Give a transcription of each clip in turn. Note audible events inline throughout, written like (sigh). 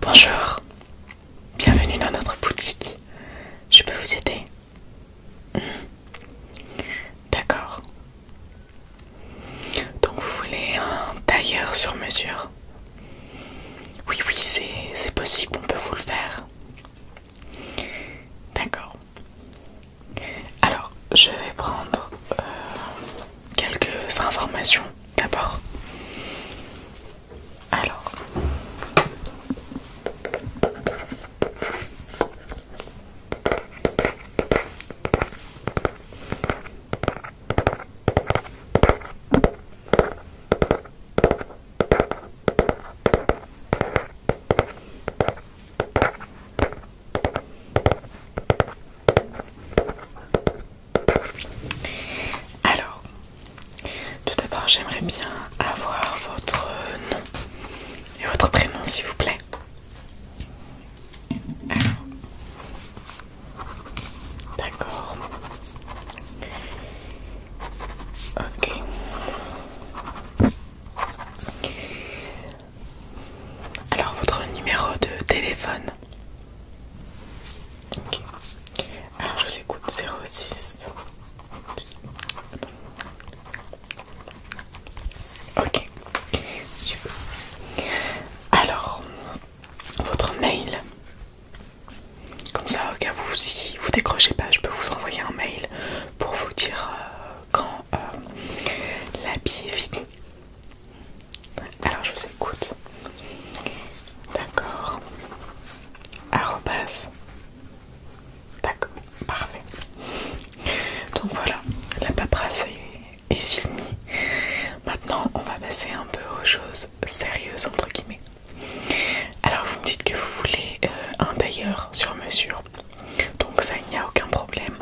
Bonjour, bienvenue dans notre boutique. Je peux vous aider hmm. D'accord. Donc vous voulez un tailleur sur mesure Oui, oui, c'est possible, on peut vous le faire. D'accord. Alors, je vais prendre euh, quelques informations d'abord. Alors, tout d'abord, j'aimerais bien avoir votre nom et votre prénom, s'il vous plaît. d'accord. Ok. Alors votre numéro de téléphone. OK. Alors je vous écoute 06. Ok. Alors votre mail. Comme ça, au cas où si vous décrochez pas, je peux vous envoyer un mail pour vous dire euh, quand euh, l'habit est fini. Alors je vous écoute. D'accord. repasse D'accord. Parfait. Donc voilà, la paperasse est, finie. Maintenant, on va passer un peu aux choses sérieuses entre guillemets. Alors vous me dites que vous voulez euh, un tailleur sur mesure donc ça il n'y a aucun problème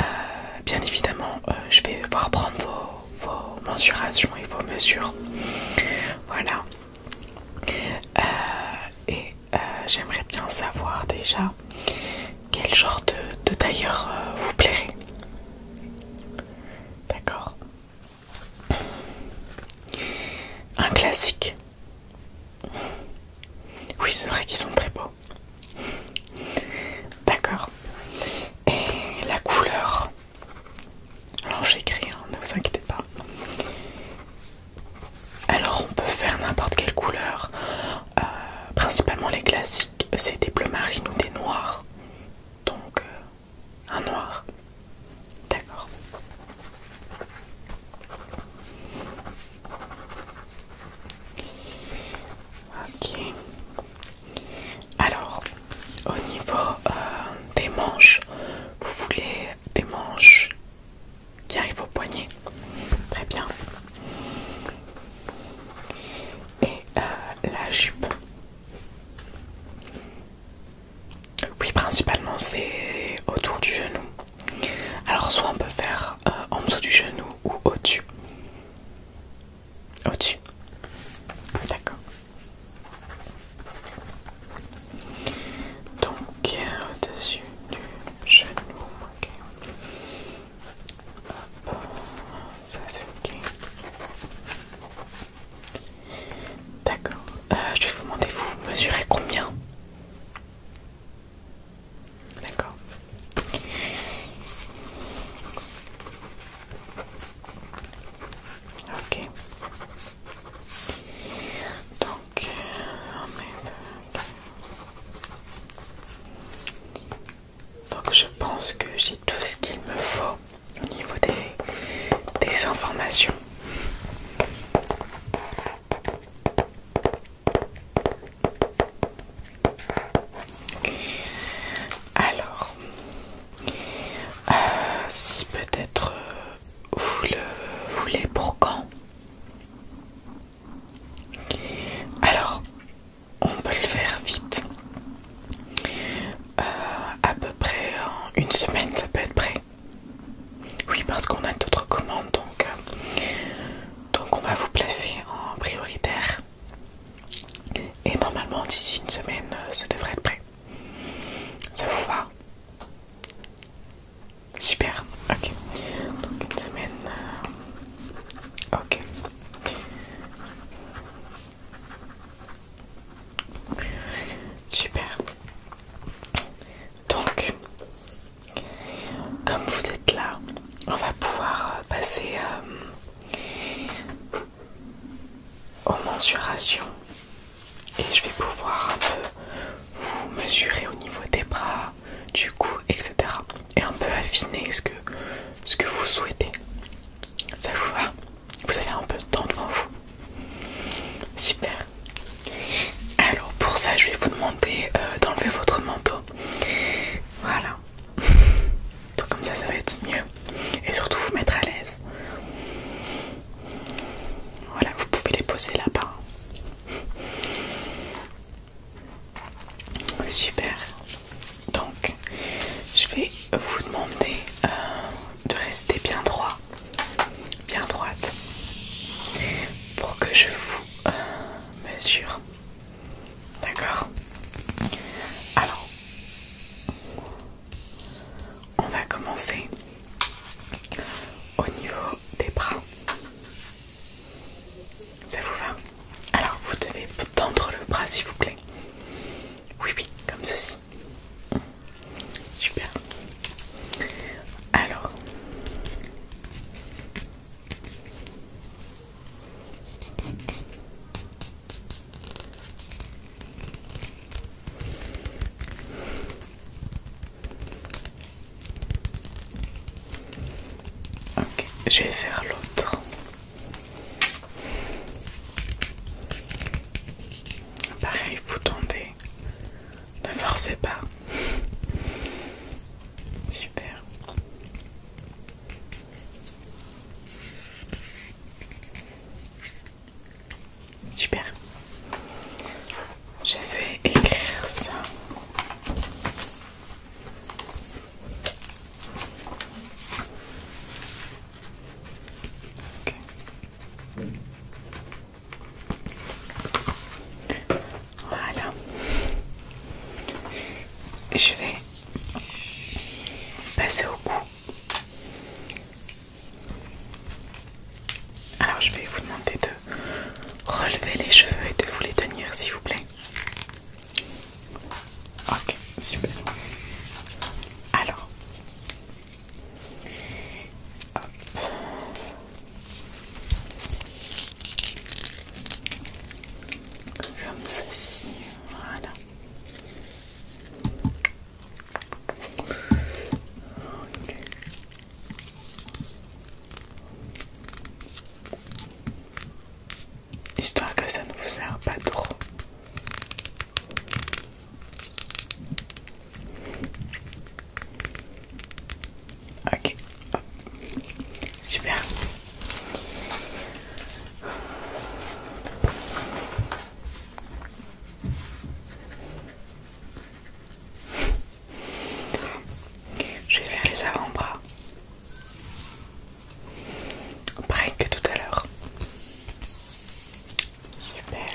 euh, bien évidemment euh, je vais voir prendre vos, vos mensurations et vos mesures voilà euh, et j'aimerais bien savoir déjà quel genre de, tailleur vous plairait d'accord un classique oui, c'est vrai qu'ils sont très beaux. D'accord. Et la couleur. Alors j'écris, hein, ne vous inquiétez pas. Alors on peut faire n'importe quelle couleur. Euh, principalement les classiques, c'est des bleus marines ou des noirs. Donc euh, un noir. D'accord. Ok. Alors, au niveau euh, des manches, vous voulez des manches qui arrivent au poignet. Très bien. Et euh, la jupe. Oui, principalement c'est autour du genou. Alors soit on peut faire euh, en dessous du genou ou au-dessus. Au-dessus. D'accord. Donc au-dessus du genou. ça c'est ok. D'accord. Euh, je vais vous demander, vous mesurez combien D'accord. Ok. Euh, donc, je pense que j'ai tout ce qu'il me faut au niveau des, des informations. Alors, euh, si peut-être euh, vous le voulez pour quand Alors, on peut le faire vite. Euh, à peu près une semaine, ça peut être prêt. Oui, parce qu'on a d'autres commandes, donc, euh, donc on va vous placer en prioritaire. Et normalement, d'ici une semaine, euh, ça devrait être prêt. Ça vous va Super, ok. Donc une semaine. Euh, ok. Super. Donc, comme vous êtes là, on va pouvoir euh, passer euh, aux mensurations et je vais pouvoir un peu vous mesurer au niveau des bras, du cou, etc. Et un peu affiner ce que, ce que vous souhaitez. Ça vous va Vous avez un peu de temps devant vous. Super. Alors pour ça je vais vous demander euh, d'enlever votre manteau. Voilà. (laughs) Comme ça ça va être mieux. Et surtout vous mettre à l'aise. Voilà, vous pouvez les poser là-bas. Super. Donc je vais vous demander euh, de rester bien droit bien droite pour que je vous euh, mesure. D'accord Alors, on va commencer au niveau des bras. Ça vous va Alors, vous devez tendre le bras s'il vous plaît. Oui, oui, comme ceci. Super. Alors. Ok, je vais faire l'autre. Pareil, vous tendez ne forcez pas. Super. Super. Je vais écrire ça. Voilà. Je vais passer au cou. Alors je vais vous demander de relever les cheveux et de vous les tenir s'il vous plaît. Ok, plaît. Alors, comme ceci, voilà. Histoire que ça ne vous sert pas trop Ok, super. Je vais faire les avant-bras. Pareil que tout à l'heure. Super.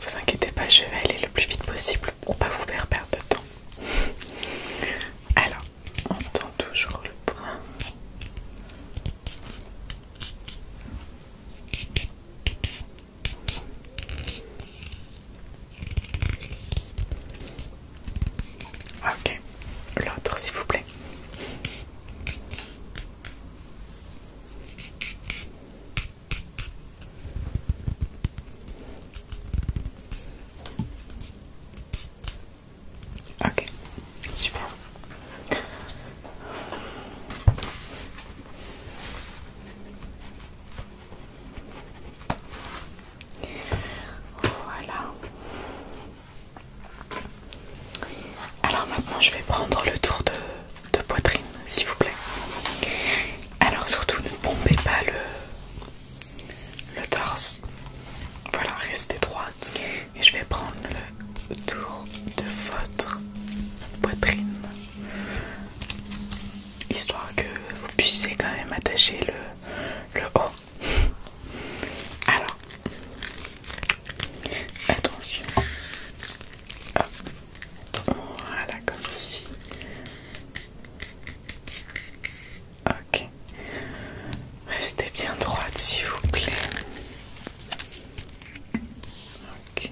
Vous inquiétez pas, je vais aller le plus vite possible pour pas vous faire perdre de temps. Alors, on tend toujours le brin Ok, l'autre s'il vous plaît. Ok, super. Voilà. Alors maintenant je vais prendre le tour de, poitrine s'il vous plaît. Alors surtout ne pompez pas le, le torse. Voilà, restez droite. Et je vais prendre le tour de votre poitrine. Histoire que vous puissiez quand même attacher le, le haut. Alors, Attention. Voilà, comme si. Ok. Restez bien droite, s'il vous plaît. Ok.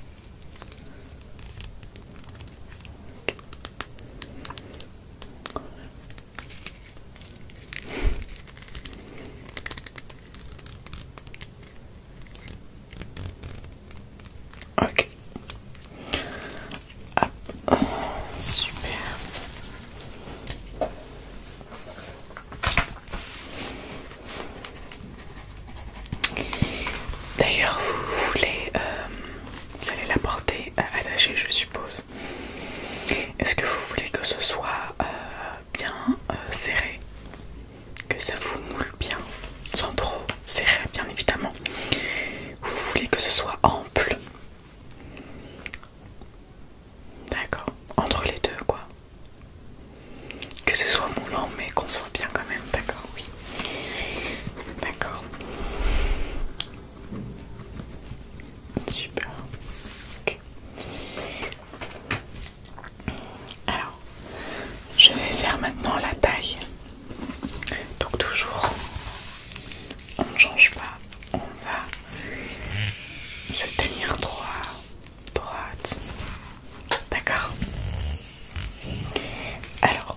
Ok. Super. D'ailleurs, vous voulez, euh, vous allez la porter euh, attachée, je suppose. Est-ce que vous voulez que ce soit euh, bien euh, serré, que ça vous moule bien, sans trop serrer bien évidemment. Vous voulez que ce soit ample. D'accord, entre les deux quoi. Que ce soit moulant mais qu'on soit bien quand même, d'accord, oui. D'accord. Super. Alors, je vais faire maintenant la taille. Donc toujours, on ne change pas. On va se tenir droit, droite. D'accord Alors,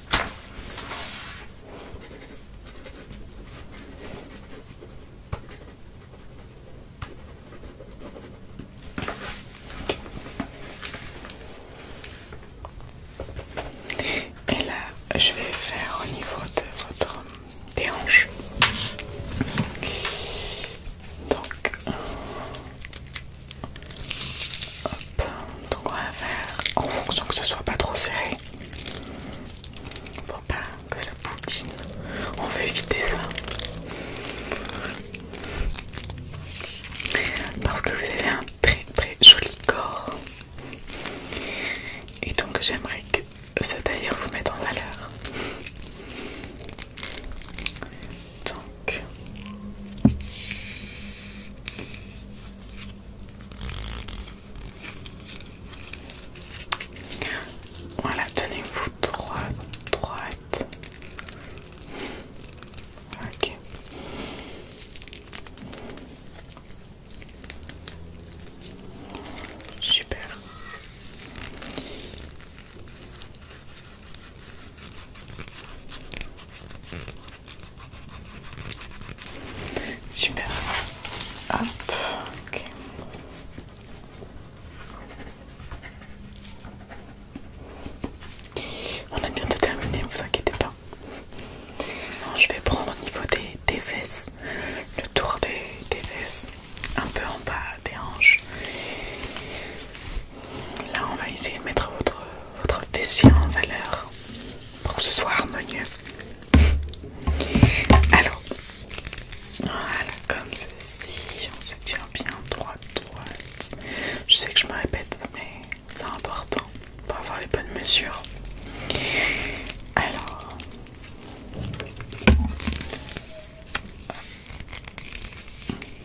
Et là, je vais faire au niveau de votre des Donc, donc on va faire en fonction que ce soit pas trop serré. Pour pas que ça poutine. On veut éviter ça. Parce que vous avez un très très joli corps. Et donc j'aimerais que ça d'ailleurs vous mette en valeur. Donc voilà tenez-vous droit, droite super Super. Hop. On a bientôt terminé, vous inquiétez pas. je vais prendre au niveau des, fesses, le tour des, des fesses, un peu en bas des hanches. Là, on va essayer de mettre votre, votre en valeur pour que ce soit harmonieux. Alors, voilà, comme ceci, on se tient bien droite, droite. Je sais que je me répète, mais c'est important pour avoir les bonnes mesures. Alors,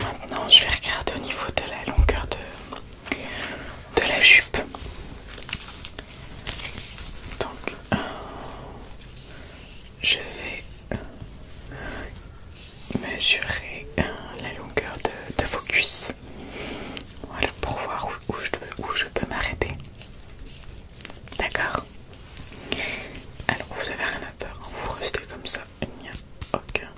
Maintenant, je vais regarder au niveau de la longueur de, de la jupe. Donc, euh, je vais mesurer euh, la longueur de, vos cuisses. Voilà, pour voir où, je, peux m'arrêter. D'accord Alors, vous avez rien à faire, hein. vous restez comme ça, il n'y a aucun.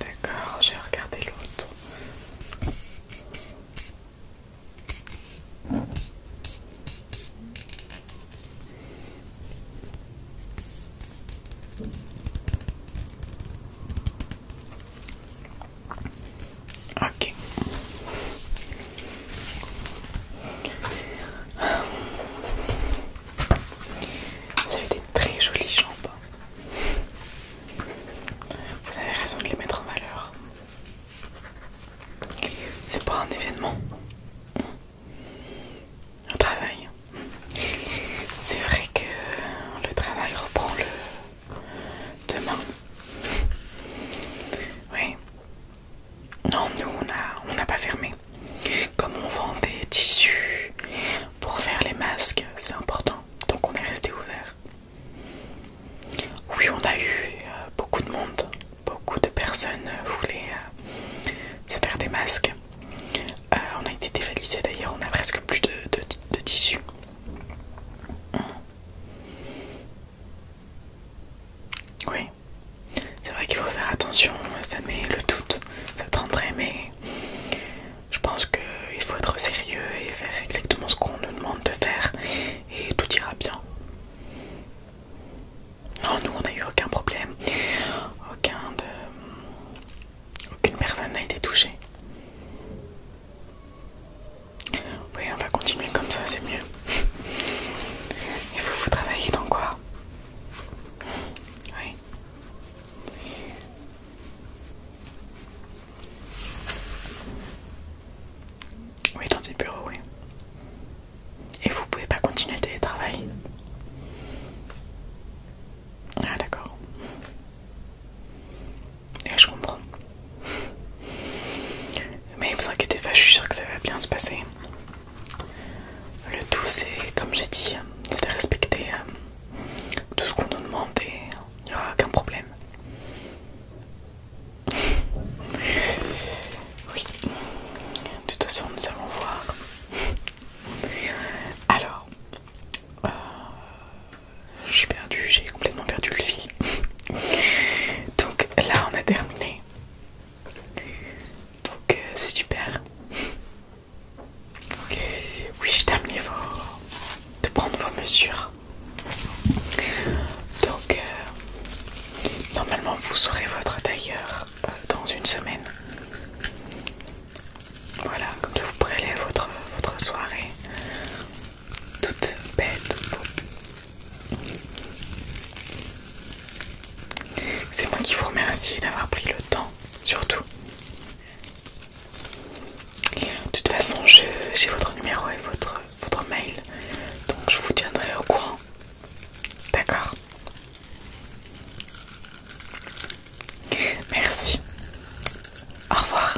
D'accord, j'ai regardé l'autre. Ok. Vous avez des très jolies jambes. Vous avez raison de les mettre en valeur. C'est pas un événement. Un travail. C'est vrai que le travail reprend le demain. Oui, non, nous, on n'a pas fermé. Comme on vend des tissus pour faire les masques, c'est important. Donc on est resté ouvert. Oui, on a eu euh, beaucoup de monde. Beaucoup de personnes euh, voulaient euh, se faire des masques. on a été dévalisés d'ailleurs, on a presque plus de tissus. Oui, c'est vrai qu'il faut faire attention, ça met le tout, ça te rendrait, mais je pense qu'il faut être sérieux et faire exactement ce qu'on nous demande de faire et tout ira bien. Non, nous on n'a eu aucun problème, aucun de... aucune personne n'a été touchée. Oui, on va continuer comme ça, c'est mieux. Et vous, vous travaillez dans quoi Oui. Oui, dans des bureaux, oui. Et vous ne pouvez pas continuer le télétravail Ah d'accord. Et je comprends. Mais vous inquiétez pas, je suis sûre que ça va bien se passer. Le tout, c'est comme j'ai dit, c'est de respecter euh, tout ce qu'on nous demande et il n'y aura aucun problème. (laughs) oui, de toute façon, nous allons voir. Alors, euh, je suis perdu, j'ai complètement perdu le fil. (laughs) Donc là on a terminé. Donc euh, c'est super. Oui, je terminé de prendre vos mesures. Donc euh, normalement vous saurez votre tailleur euh, dans une semaine. Voilà, comme ça vous pourrez votre, votre soirée toute belle, C'est moi qui vous remercie d'avoir pris le temps, surtout. De toute façon, j'ai votre numéro et votre, votre mail, donc je vous tiendrai au courant. D'accord Merci. Au revoir.